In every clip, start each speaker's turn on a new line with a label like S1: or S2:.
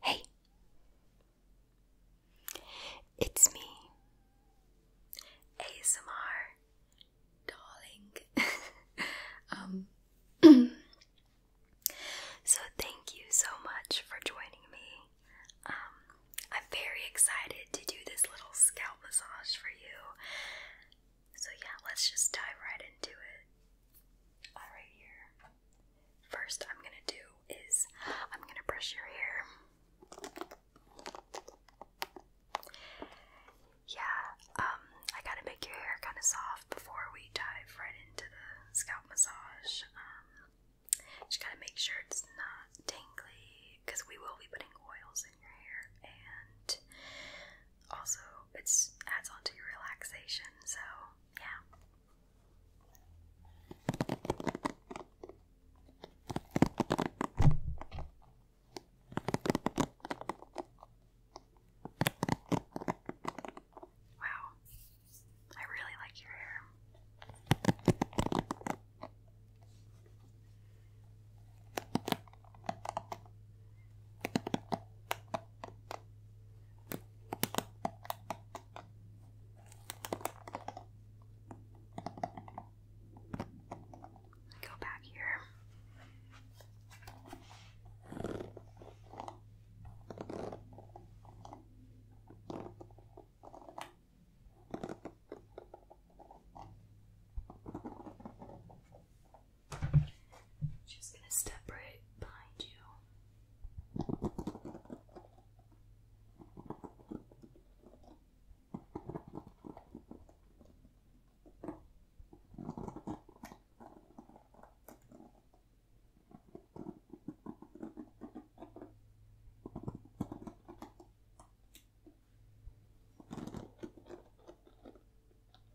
S1: Hey, it's me, ASMR darling. um, so thank you so much for joining me. Um, I'm very excited to do this little scalp massage for you. So yeah, let's just dive right into it. All right here first I'm gonna do is I'm gonna brush your hair. Yeah, um, I gotta make your hair kind of soft before we dive right into the scalp massage. Um, just gotta make sure it's not tingly because we will be putting oils in your hair and also it's adds on to your relaxation, so yeah. Wow, I really like your hair. Go back here. Okay. I'm Just gonna step right behind you.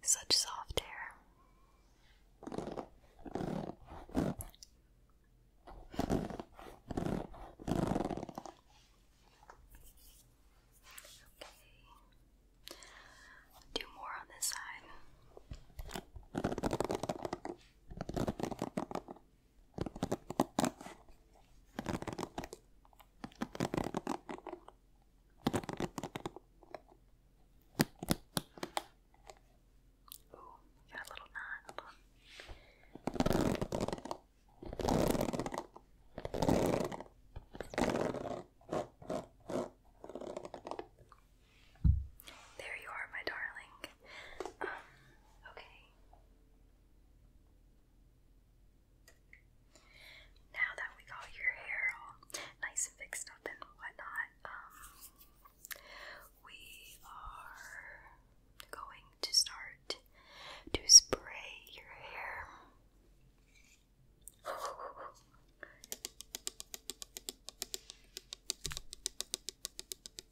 S1: Such soft hair. Okay. Do more on this side. Ooh, got a little knot. There you are, my darling. Um, okay. Now that we got your hair nice and fixed up and whatnot, um, we are going to start to spray your hair.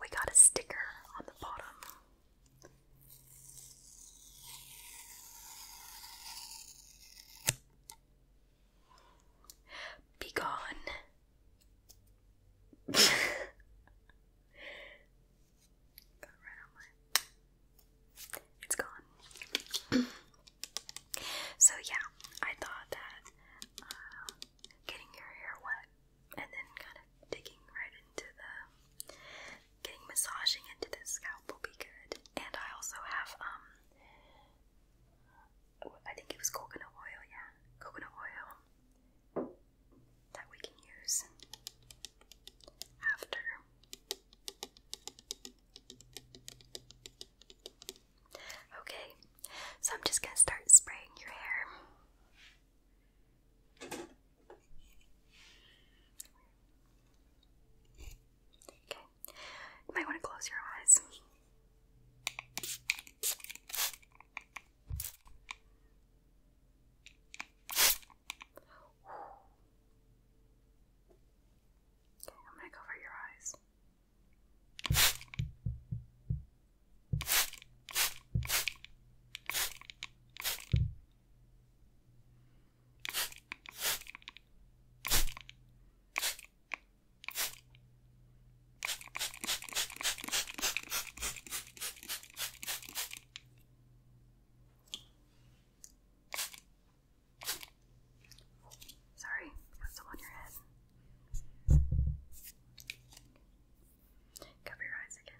S1: We got a sticker on the bottom. Be It's gone. so yeah, I thought that getting your hair wet and then kind of digging right into the getting massaging into the scalp will be good. And I also have um I think it was coconut oil, yeah. Coconut oil that we can use after. Okay, so I'm just going to start spraying your hair. Okay, you might want to close your eyes. Okay, I'm going to cover your eyes. Sorry, got some on your head. Cover your eyes again.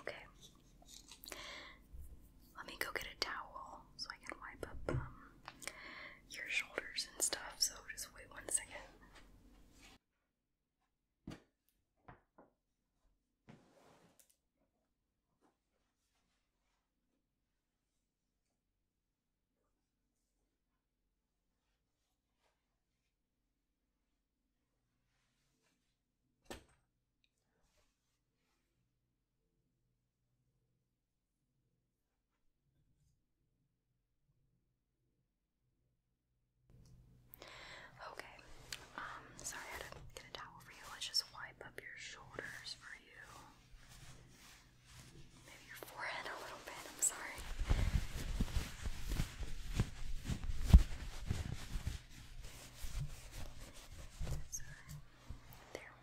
S1: Okay. Let me go get a towel so I can wipe up um, your shoulders and stuff, so just wait one second. Okay. Um, sorry I had to get a towel for you. Let's just wipe up your shoulders for you. Maybe your forehead a little bit. I'm sorry. There.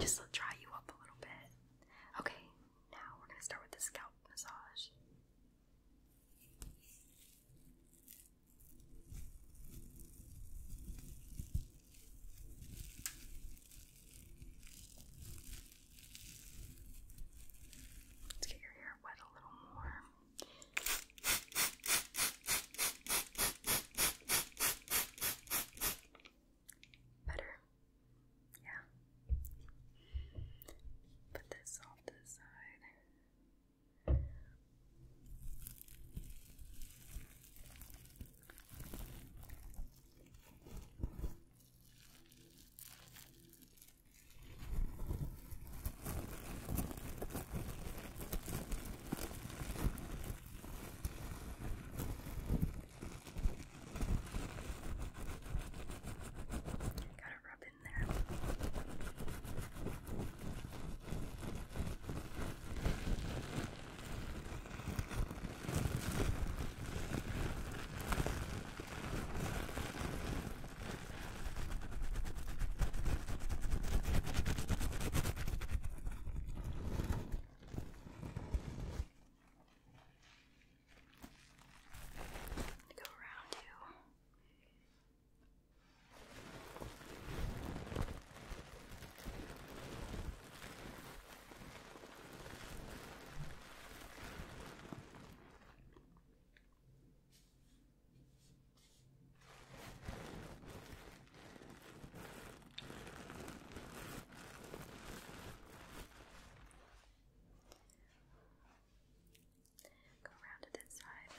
S1: Just dry you up a little bit. Okay, now we're going to start with the scalp massage. Let's get your hair wet a little more better. Yeah. Put this off to the side. Gotta rub in there. Go around you. Good. Go around to this side. Okay.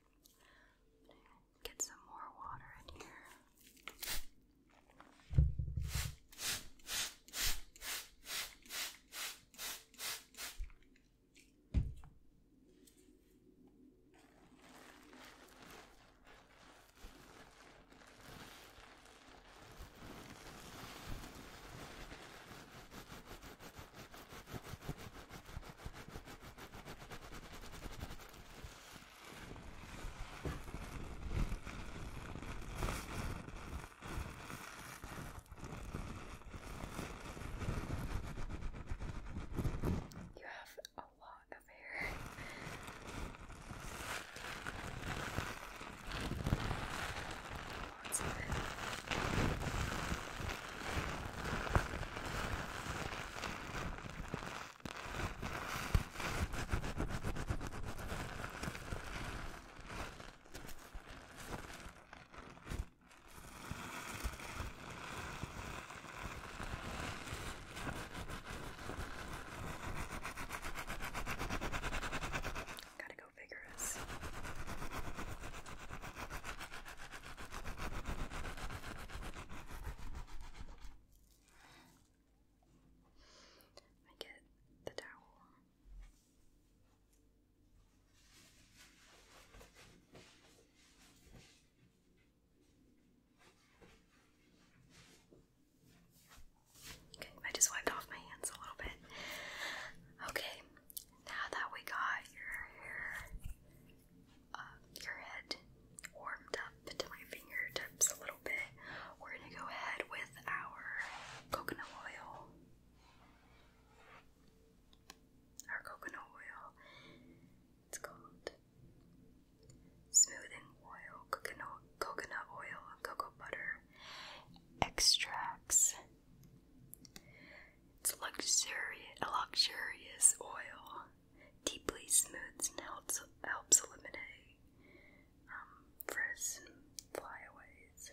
S1: Get some more water in here. You have a lot of hair. Lots of it. Gotta go vigorous. I get the towel. Okay, I just wiped off my hands a little bit. Okay, now that we got your hair um, your head warmed up to my fingertips a little bit, we're going to go ahead with our coconut oil. Our coconut oil. It's called smoothing oil, coconut, coconut oil, and cocoa butter extracts. It's luxurious, a luxurious oil, deeply smooths and helps, helps eliminate frizz um, and flyaways.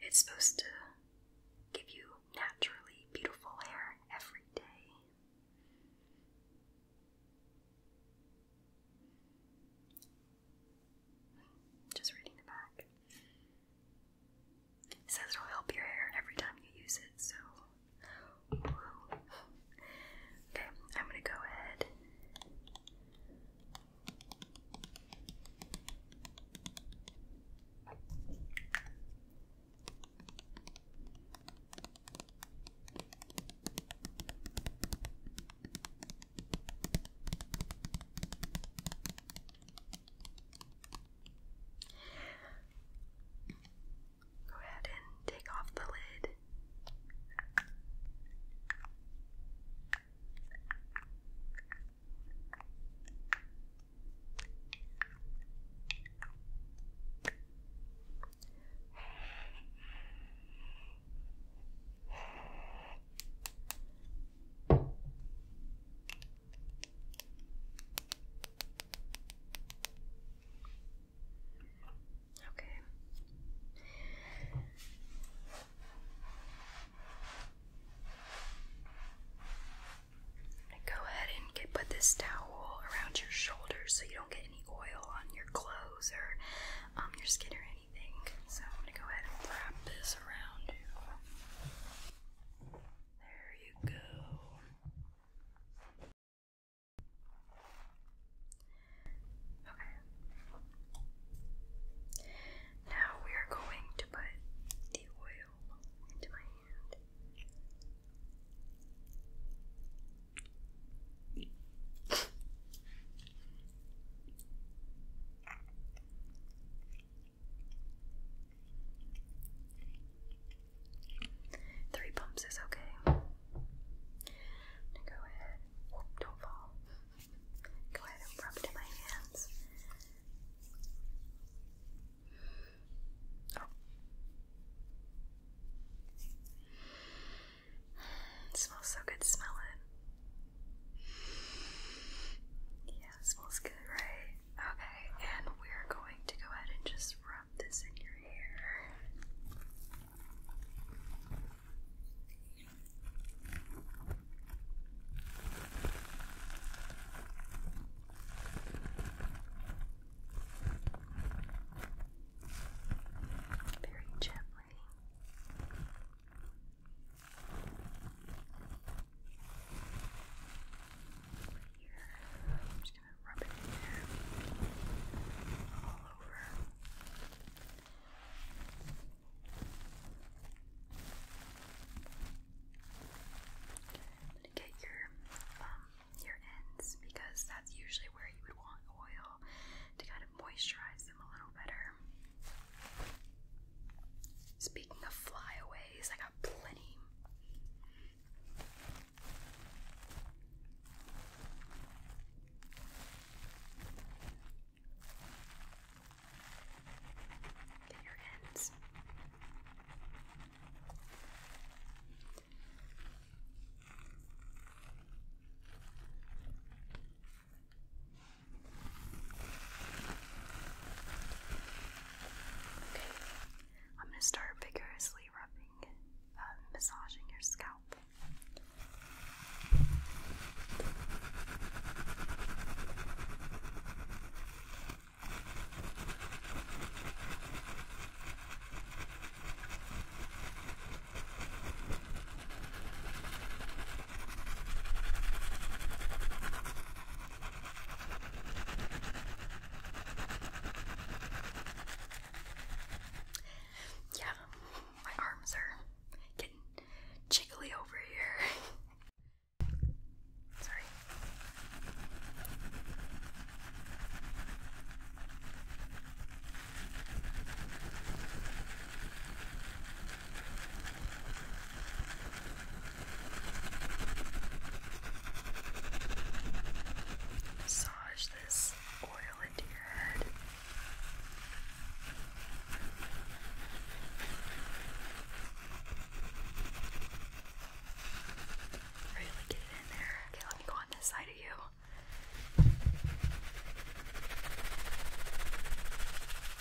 S1: It's supposed to give you naturally beautiful hair every day. Just reading the back. It says it'll help your hair every time you use it, so. Okay, I'm gonna go ahead. Go ahead and take off the lid. Okay. Go ahead and get put this towel around your shoulders so you don't get any oil on your clothes or um, your skin or anything so I'm gonna go ahead and wrap this around you. There you go. Okay. Now we are going to put the oil into my hand. Three pumps is okay. go ahead. don't fall. Go ahead and rub it in my hands. Oh. smells so good, smell it. Yeah, it smells good, right? Okay, and we're going to go ahead and just rub this in your hair. Very gently just gonna rub it in there. All over. gonna get your um, your ends because that's usually where you would want oil to kind of moisturize them a little better. Speaking of flyaways, I got plenty. Get your ends. I'm going to start vigorously rubbing, uh, massaging your scalp. Yeah, my arms are getting jiggly over here. Sorry. Massage this oil into your head. Really get it in there. Okay, let me go on this side of you.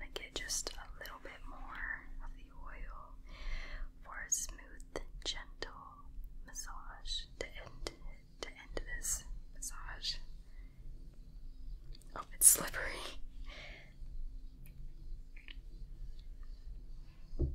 S1: to get just a little bit more of the oil for a smooth, gentle massage to end to end this massage. Oh, it's slippery.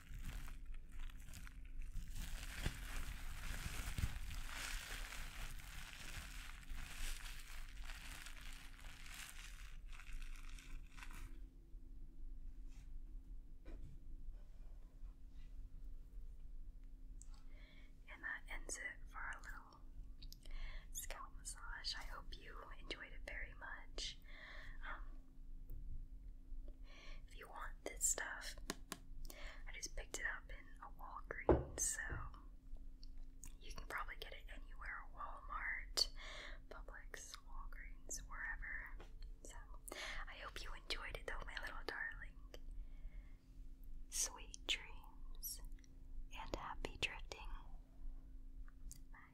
S1: And that ends it for our little scalp massage. I hope you enjoyed it very much. Um, if you want this stuff, I just picked it up in a Walgreens, so you can probably get it anywhere Walmart, Publix, Walgreens, wherever. So I hope you enjoyed it though, my little darling. Sweet dreams and happy drifting. Bye.